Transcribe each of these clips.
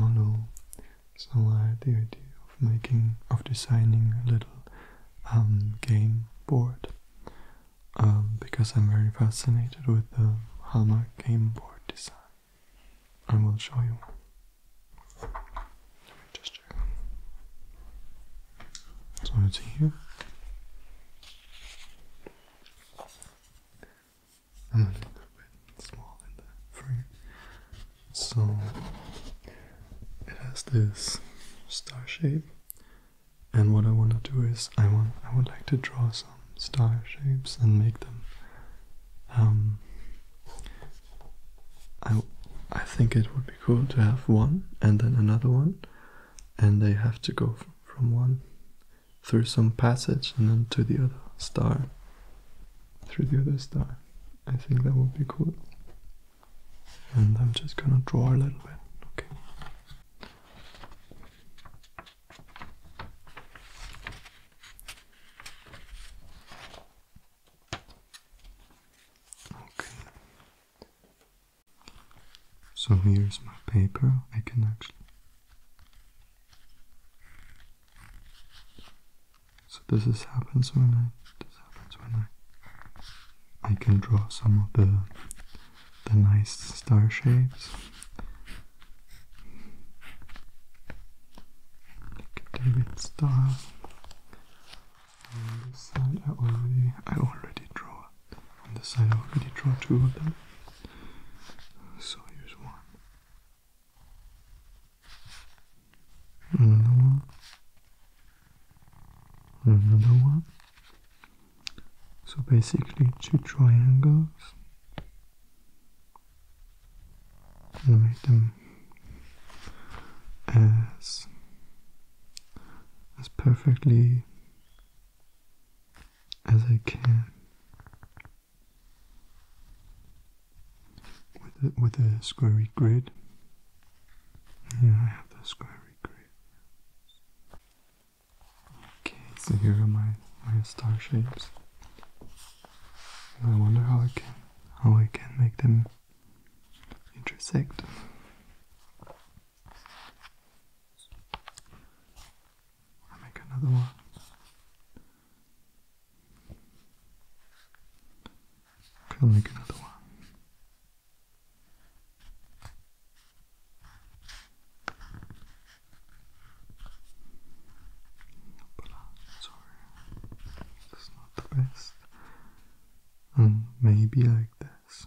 Although so the idea of making of designing a little um, game board um, because I'm very fascinated with the Hama game board design. I will show you. just check. So it's here. I'm a little bit small in the frame. So it has this star shape and what I want to do is I want I would like to draw some star shapes and make them um, I I think it would be cool to have one and then another one and they have to go from one through some passage and then to the other star. Through the other star. I think that would be cool. And I'm just gonna draw a little bit. Okay. Okay. So here's my paper. I can actually so this is happens when I this happens when I I can draw some of the the nice star shapes. David star. On this side I already I already draw on this side I already draw two of them. So here's one. Another one. Another one. So basically two triangles. make them as as perfectly as I can with a, with a squarey grid. Yeah, I have the squarey grid. Okay, so here are my my star shapes. I wonder how I can how I can make them intersect. I'll make another one. Okay, I'll make another one. Sorry, it's not the best. Um, maybe like this.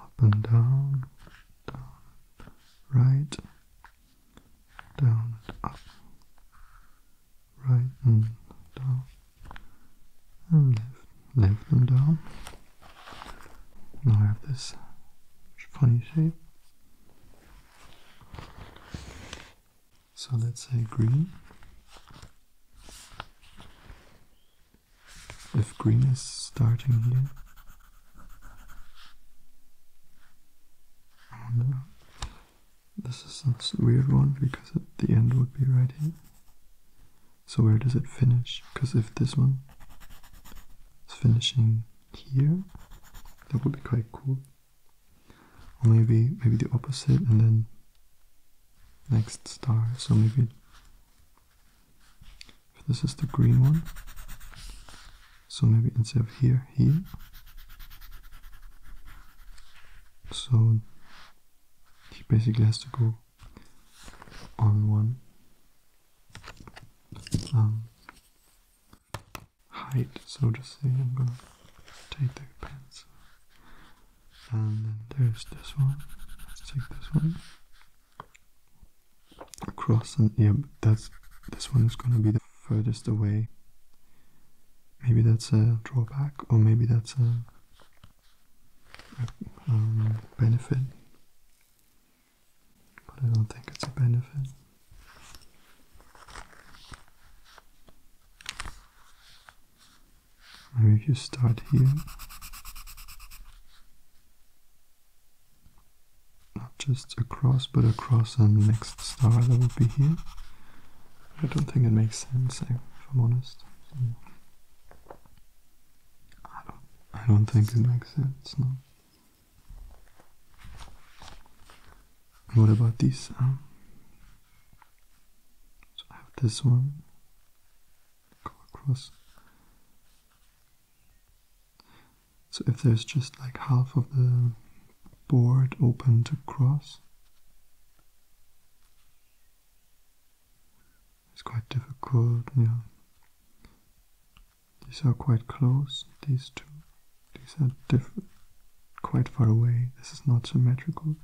up and down, down right, down up, right and down, and left, left and down. Now I have this funny shape. So let's say green if green is starting here. This is a weird one because the end would be right here. So where does it finish? Because if this one is finishing here, that would be quite cool. Or maybe maybe the opposite and then next star. So maybe this is the green one. So maybe instead of here, here. So he basically has to go on one um, height, so to say. I'm gonna take the pencil. And then there's this one. Let's take this one across and yeah that's this one is gonna be the furthest away maybe that's a drawback or maybe that's a, um, benefit but I don't think it's a benefit maybe you start here not just across but across and next star that would be here. I don't think it makes sense eh, if I'm honest. I don't I don't think it makes sense, no. What about these? so I have this one go across so if there's just like half of the board open to cross, it's quite difficult, yeah. These are quite close, these two. These are quite far away. This is not symmetrical.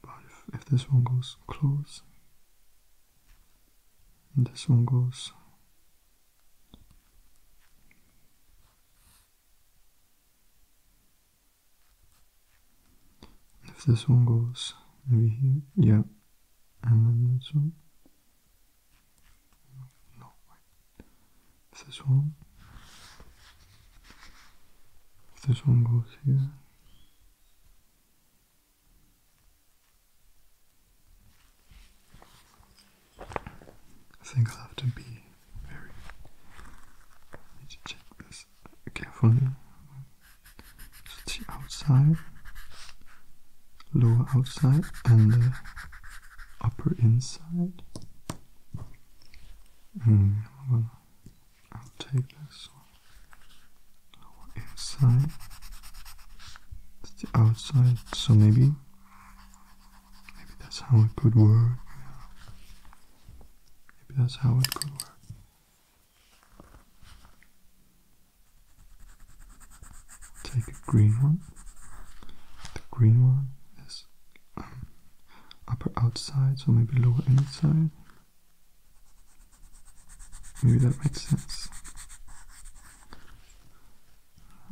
But if, if this one goes close, this one goes. If this one goes, maybe here, yeah, and then this one. No, wait. this one. If this one goes here. I think i have to be very. I need to check this carefully. It's the outside, lower outside, and the upper inside. Mm, well, I'll take this our inside it's the outside so maybe maybe that's how it could work maybe that's how it could work take a green one the green one is um, upper outside so maybe lower inside Maybe that makes sense.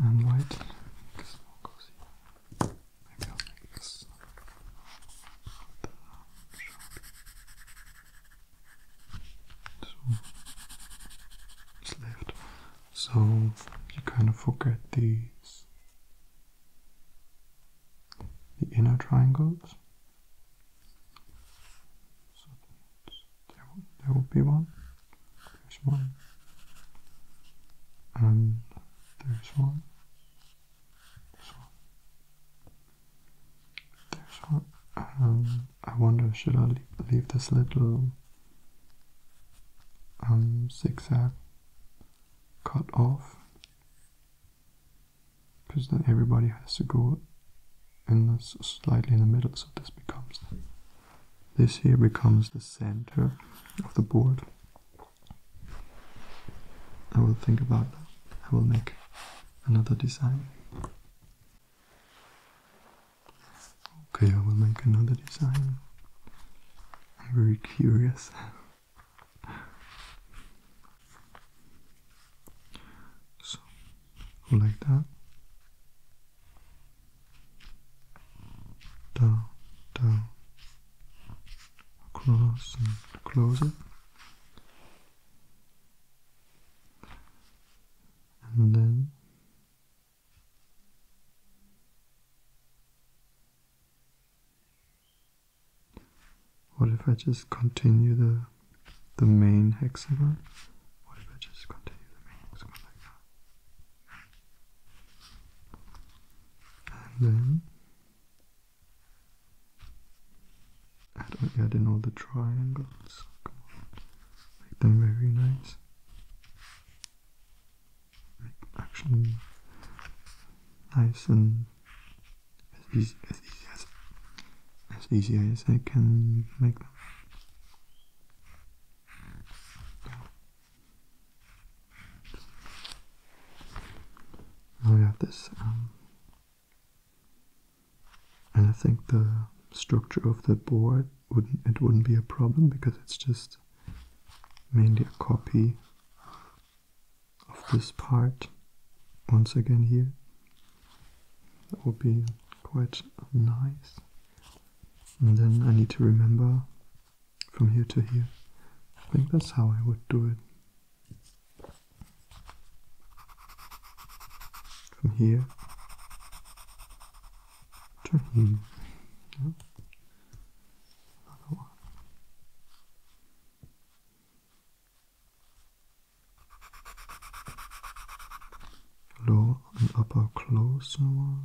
And light. so you kind of forget these the inner triangles. There will, be one. There's one. And there's one. There's one. I wonder, should I leave, this little um, zigzag cut off? Because then everybody has to go and the, slightly in the middle, so this becomes this here becomes the center of the board. I will think about that. I will make another design. Okay, I will make another design. I'm very curious. so like that down down across and closer and then what if I just continue the the main hexagon. What if I just continue the main hexagon like that? And then add, in all the triangles. Come on. Make them very nice. Make actually nice and as easy as, as easy as I can make them. I got this, um, and I think the structure of the board wouldn't it wouldn't be a problem because it's just mainly a copy of this part once again here. That would be quite nice. And then I need to remember from here to here. I think that's how I would do it. From here to here lower and upper closer one.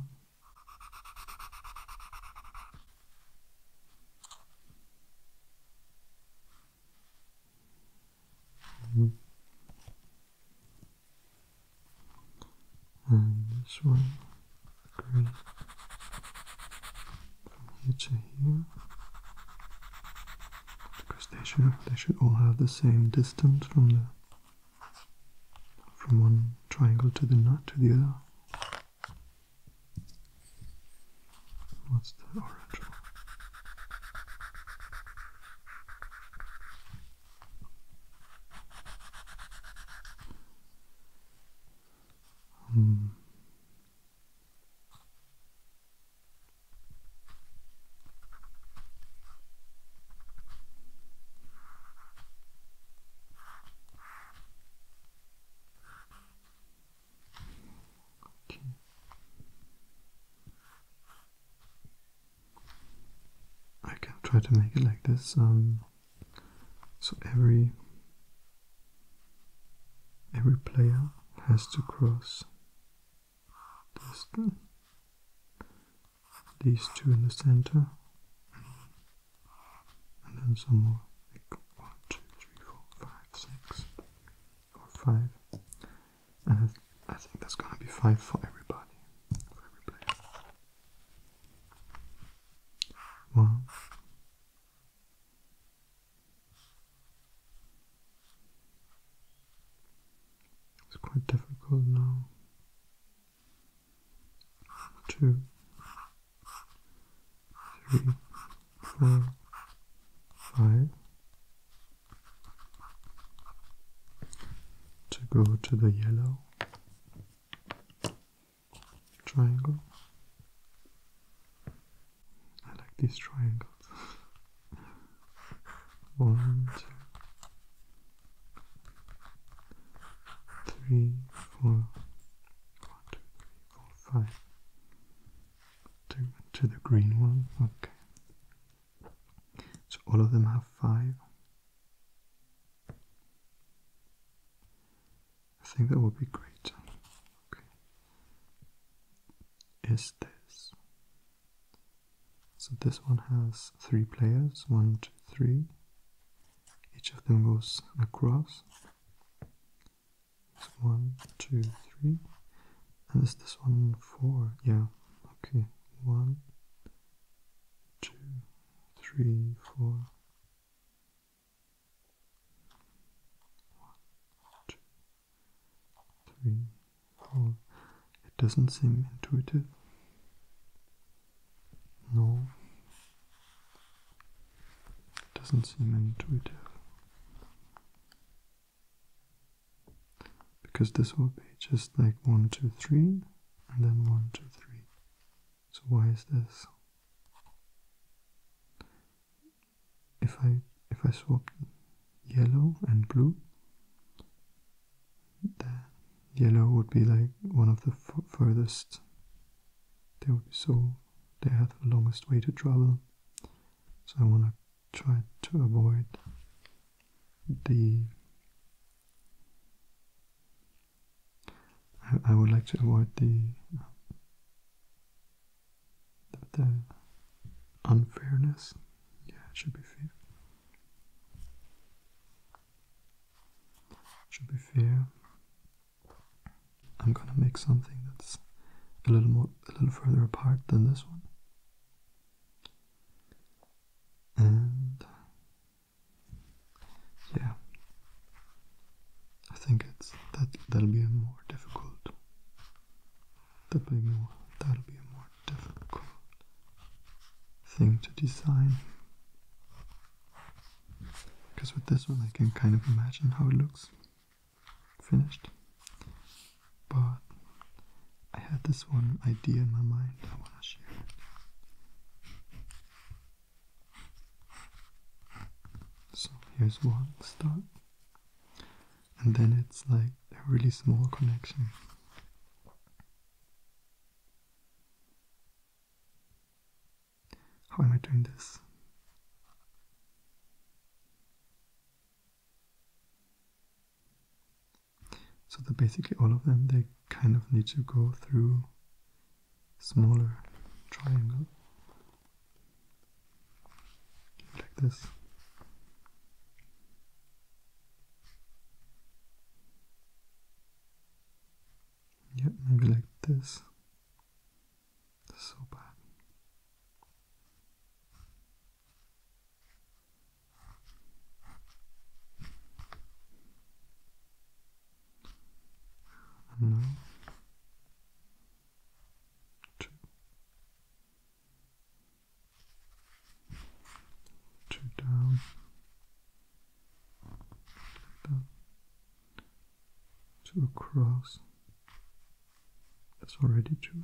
Mm-hmm. And this one, green, from here to here, because they should they should all have the same distance from there from one triangle to the nut to the other. What's the orange one? Um, hmm. I can try to make it like this. Um, so every every player has to cross this these two in the center, and then some more. Like one, two, three, four, five, six, or five. And I think that's gonna be five for everybody, for every player. One. It's quite difficult now two, three, four, five to go to the yellow triangle. I like these triangles. One, two, three, four, one, two, three, four, five. To, to the green one, okay. So all of them have five. I think that would be great. Okay. Is this so this one has three players, one, two, three. Each of them goes across. one, two, three. And is this one four? Yeah. Okay. One, two, three, four. One, two, three, Oh, it doesn't seem intuitive. No, it doesn't seem intuitive. Because this would be just like 1, 2, 3, and then 1, 2, 3. So why is this? If I if I swap yellow and blue, the yellow would be like one of the furthest. They would be so they have the longest way to travel. So I want to try to avoid the. I, would like to avoid the, the unfairness yeah, it should be fair. Should be fair. I'm gonna make something that's a little more, a little further apart than this one. And yeah, I think it's that that'll be a more difficult. That'll be more. That'll be a more difficult thing to design. Because with this one I can kind of imagine how it looks finished. But I had this one idea in my mind I want to share it. So here's one start. And then it's like a really small connection how am I doing this? So that basically all of them, they kind of need to go through smaller triangle like this yeah, maybe like this. So bad. No. Two two down, like that, two across. That's already two.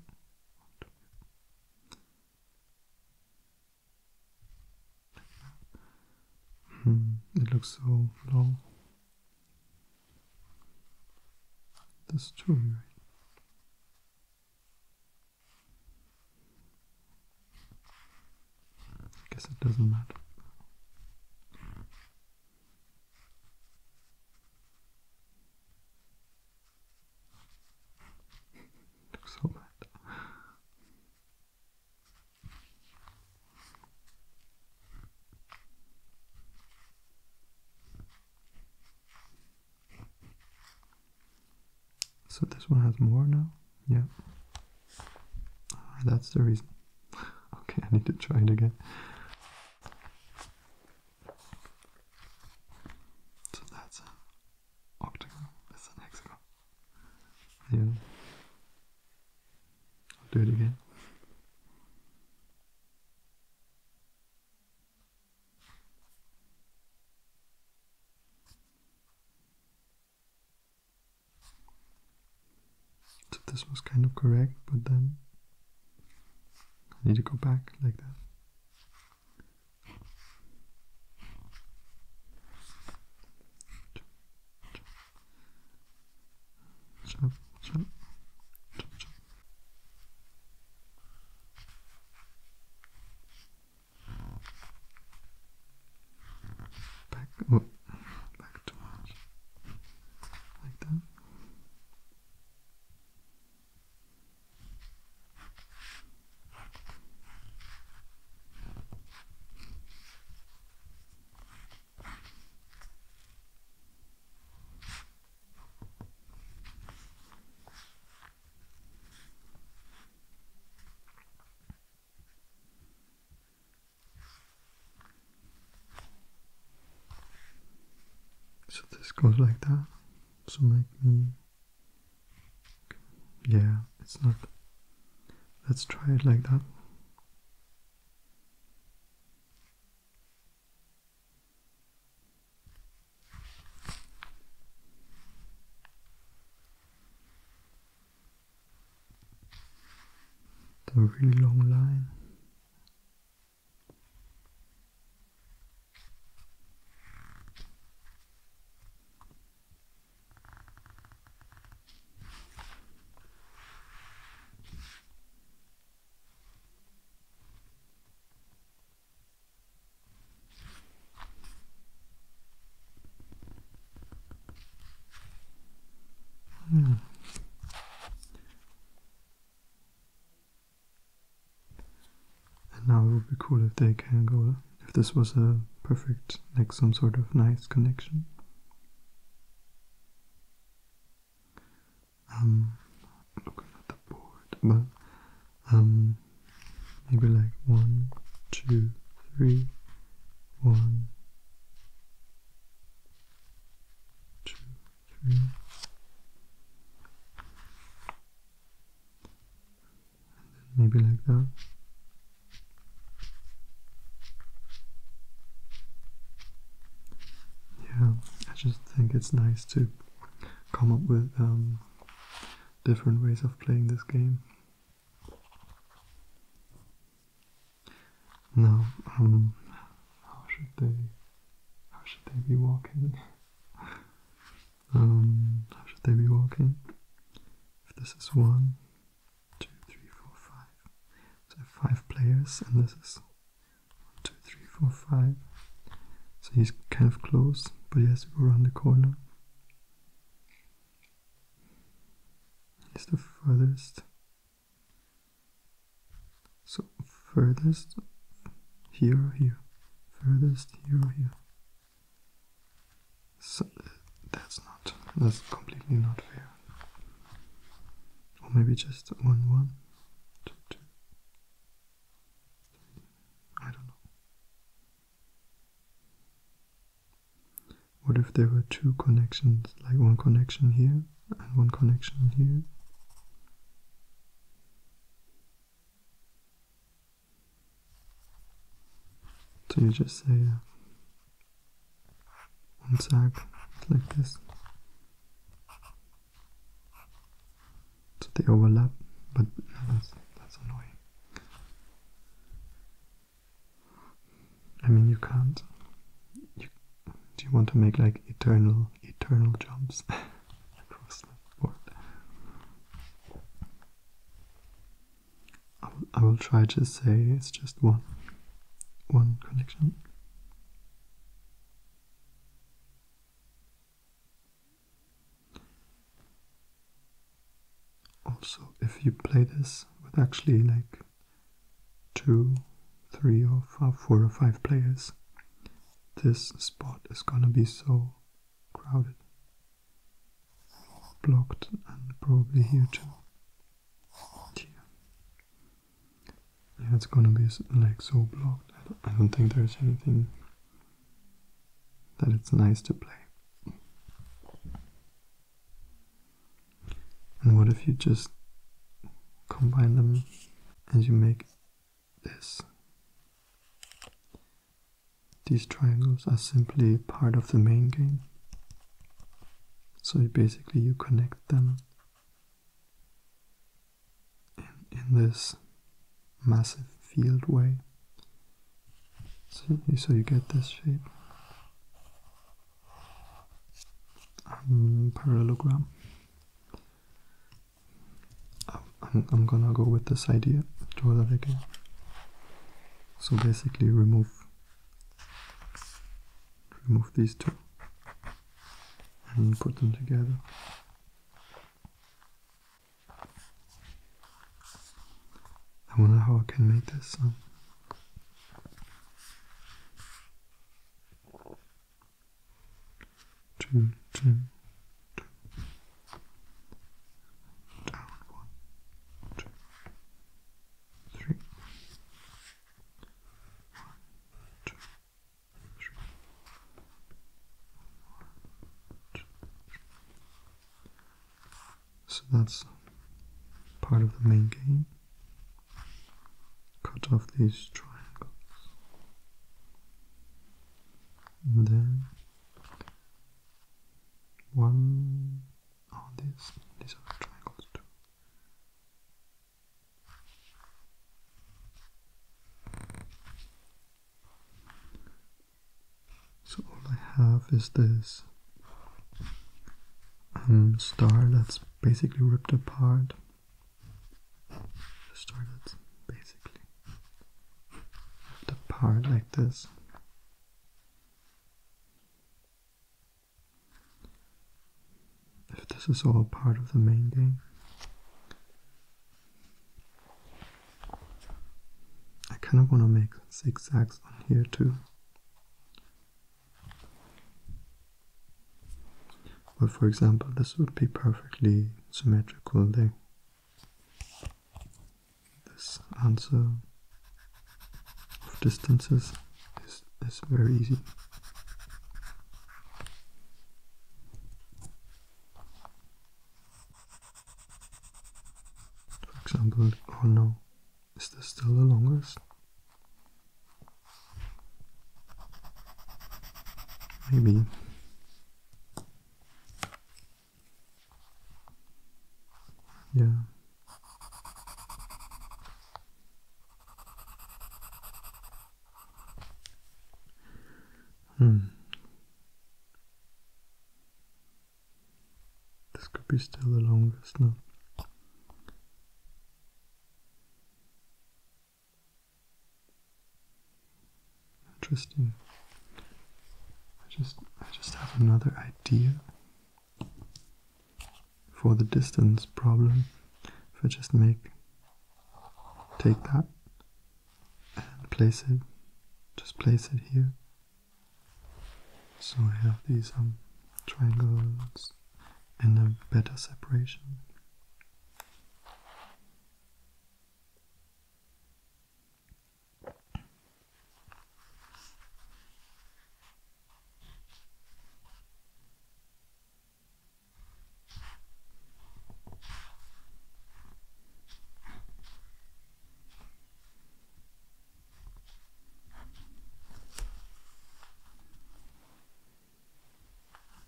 Mm, it looks so long. That's two, right? I guess it doesn't matter. Looks so bad. So this one has more now? Yeah. Ah, that's the reason. okay, I need to try it again. So that's an octagon, that's an hexagon. Yeah. I'll do it again. So this was kind of correct, but then I need to go back like that. Chop, chop, Back, oh, back towards, like that. So this goes like that. So make me. Yeah, it's not. Let's try it like that. It's a really long line. Hmm. And now it would be cool if they can go, if this was a perfect, like some sort of nice connection. Um, looking at the board, but um, maybe like one, two, three, one, two, three. Maybe like that. Yeah, I just think it's nice to come up with um, different ways of playing this game. No. Um, how should they, how should they be walking? Um, how should they be walking? If this is one, two, three, four, five. So five players, and this is one, two, three, four, five. So he's kind of close, but he has to go around the corner. It's the furthest. So furthest here or here, furthest here or here. So that's not, that's completely not fair. Or maybe just one, one, two, two. I don't know. What if there were two connections, like one connection here and one connection here? So you just say uh, one side like this. So they overlap, but that's, that's annoying. I mean, you can't. You, do you want to make like eternal, eternal jumps across the board? I will try to say it's just one, one connection. Also, if you play this with actually like two, three, or four, or five players, this spot is gonna be so crowded, blocked, and probably here too. Yeah, it's gonna be like so blocked. I don't think there's anything that it's nice to play. And what if you just combine them and you make this? These triangles are simply part of the main game. So basically you connect them in this massive field way See, so you get this shape. Mm, parallelogram. I'm, I'm gonna go with this idea, draw that again. So basically remove remove these two and put them together. I wonder how I can make this sound. Down one, two, three. So that's part of the main game. Cut off these triangles. And then one oh these these are triangles too. So all I have is this star that's basically ripped apart. A star that's basically ripped apart like this. If this is all part of the main game. I kind of want to make zigzags on here too. But for example, this would be perfectly symmetrical This answer of distances is, is very easy. For example, oh no, is this still the longest? Maybe. Yeah. Hmm. This could be still the longest now. Interesting. I just I just have another idea for the distance problem. If I just make take that and place it just place it here so I have these um, triangles and a better separation.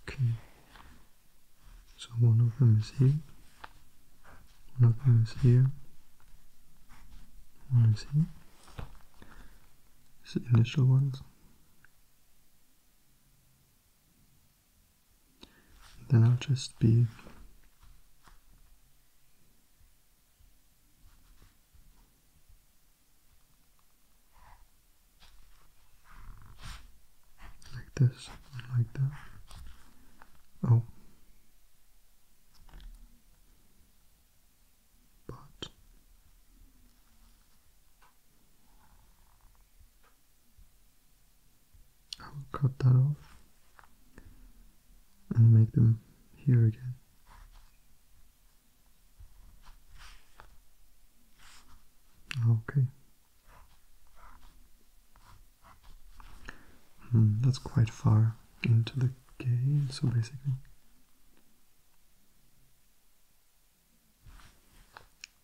Okay, so one of them is here, one of them is here, one is here. Is the initial ones. Then I'll just be like this, like that. Oh. But I will cut that off and make them here again. Okay. Mm, that's quite far into the game, so basically.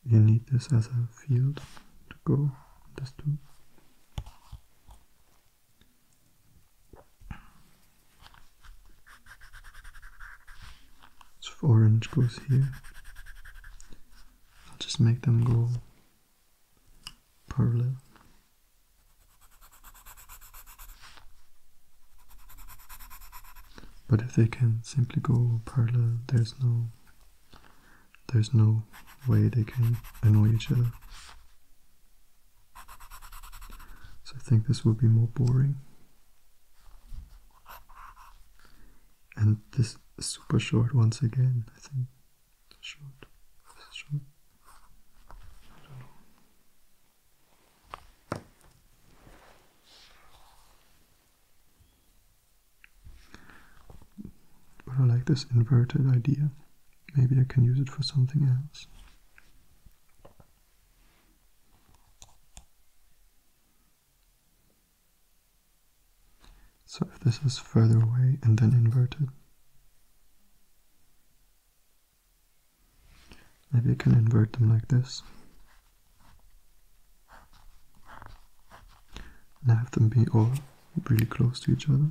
You need this as a field to go, this too. So orange goes here. I'll just make them go parallel. But if they can simply go parallel, there's no there's no way they can annoy each other. So I think this will be more boring. And this is super short once again, I think. Short. short. I like this inverted idea Maybe I can use it for something else. So if this is further away and then inverted, maybe I can invert them like this. And have them be all really close to each other.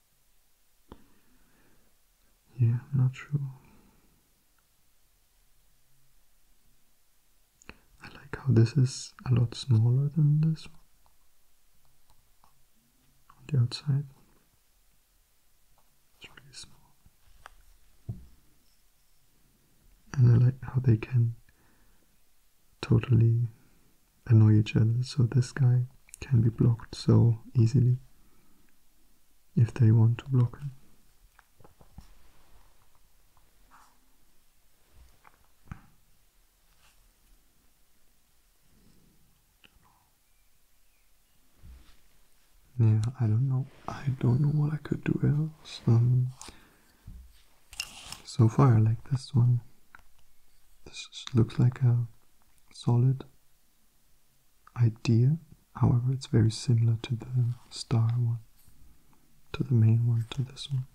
Yeah, I'm not sure. I like how this is a lot smaller than this on the outside. It's really small. And I like how they can totally annoy each other so this guy can be blocked so easily if they want to block it, Yeah, I don't know. I don't know what I could do else. Um, so far, like this one, this looks like a solid idea. However, it's very similar to the star one, to the main one, to this one.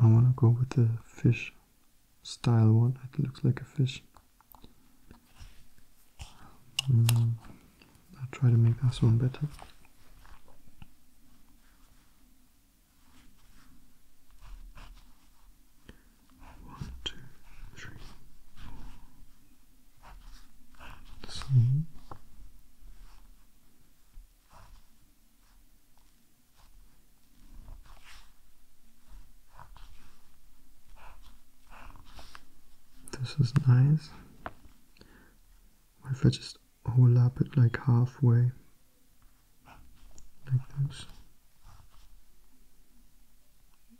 I want to go with the fish style one. It looks like a fish. Mm, I'll try to make this one better. One, two, three, four. The This is nice. if I just overlap it like halfway? like this.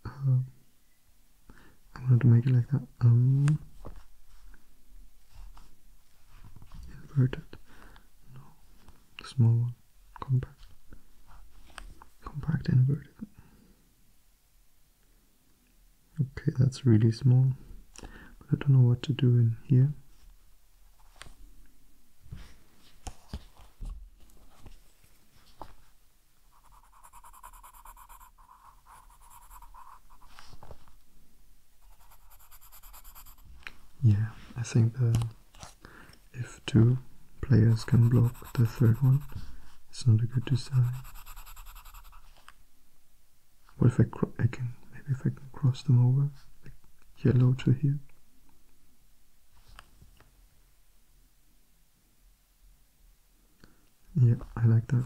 Um, I wanted to make it like that. Um, inverted. No, small one. Compact. Compact inverted. Okay, that's really small. But I don't know what to do in here. Yeah, I think if two players can block the third one, it's not a good design. What if I, I can maybe if I can cross them over, like yellow to here. Yeah, I like that.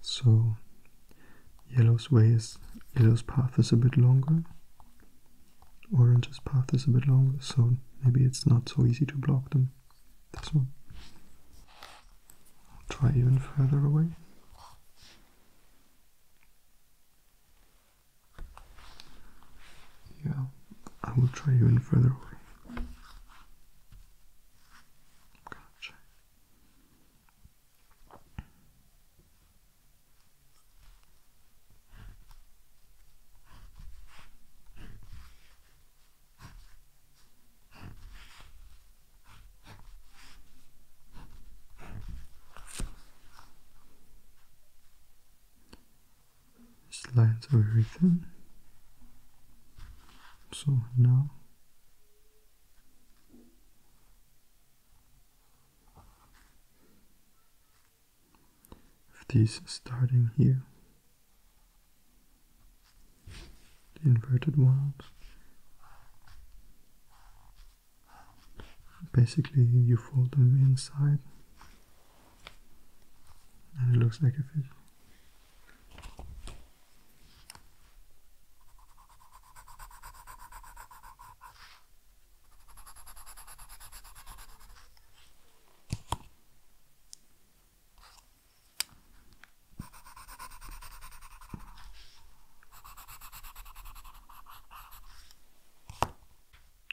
So Yellow's way is yellow's path is a bit longer. Orange's path is a bit longer, so maybe it's not so easy to block them. This one. I'll try even further away. Yeah, I will try even further away. Slides are very thin. So now if these starting here. The inverted ones. Basically, you fold them inside, and it looks like a fish.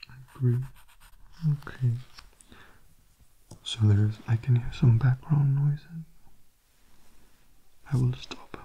I agree. Okay. So there's I can hear some background noises. I will stop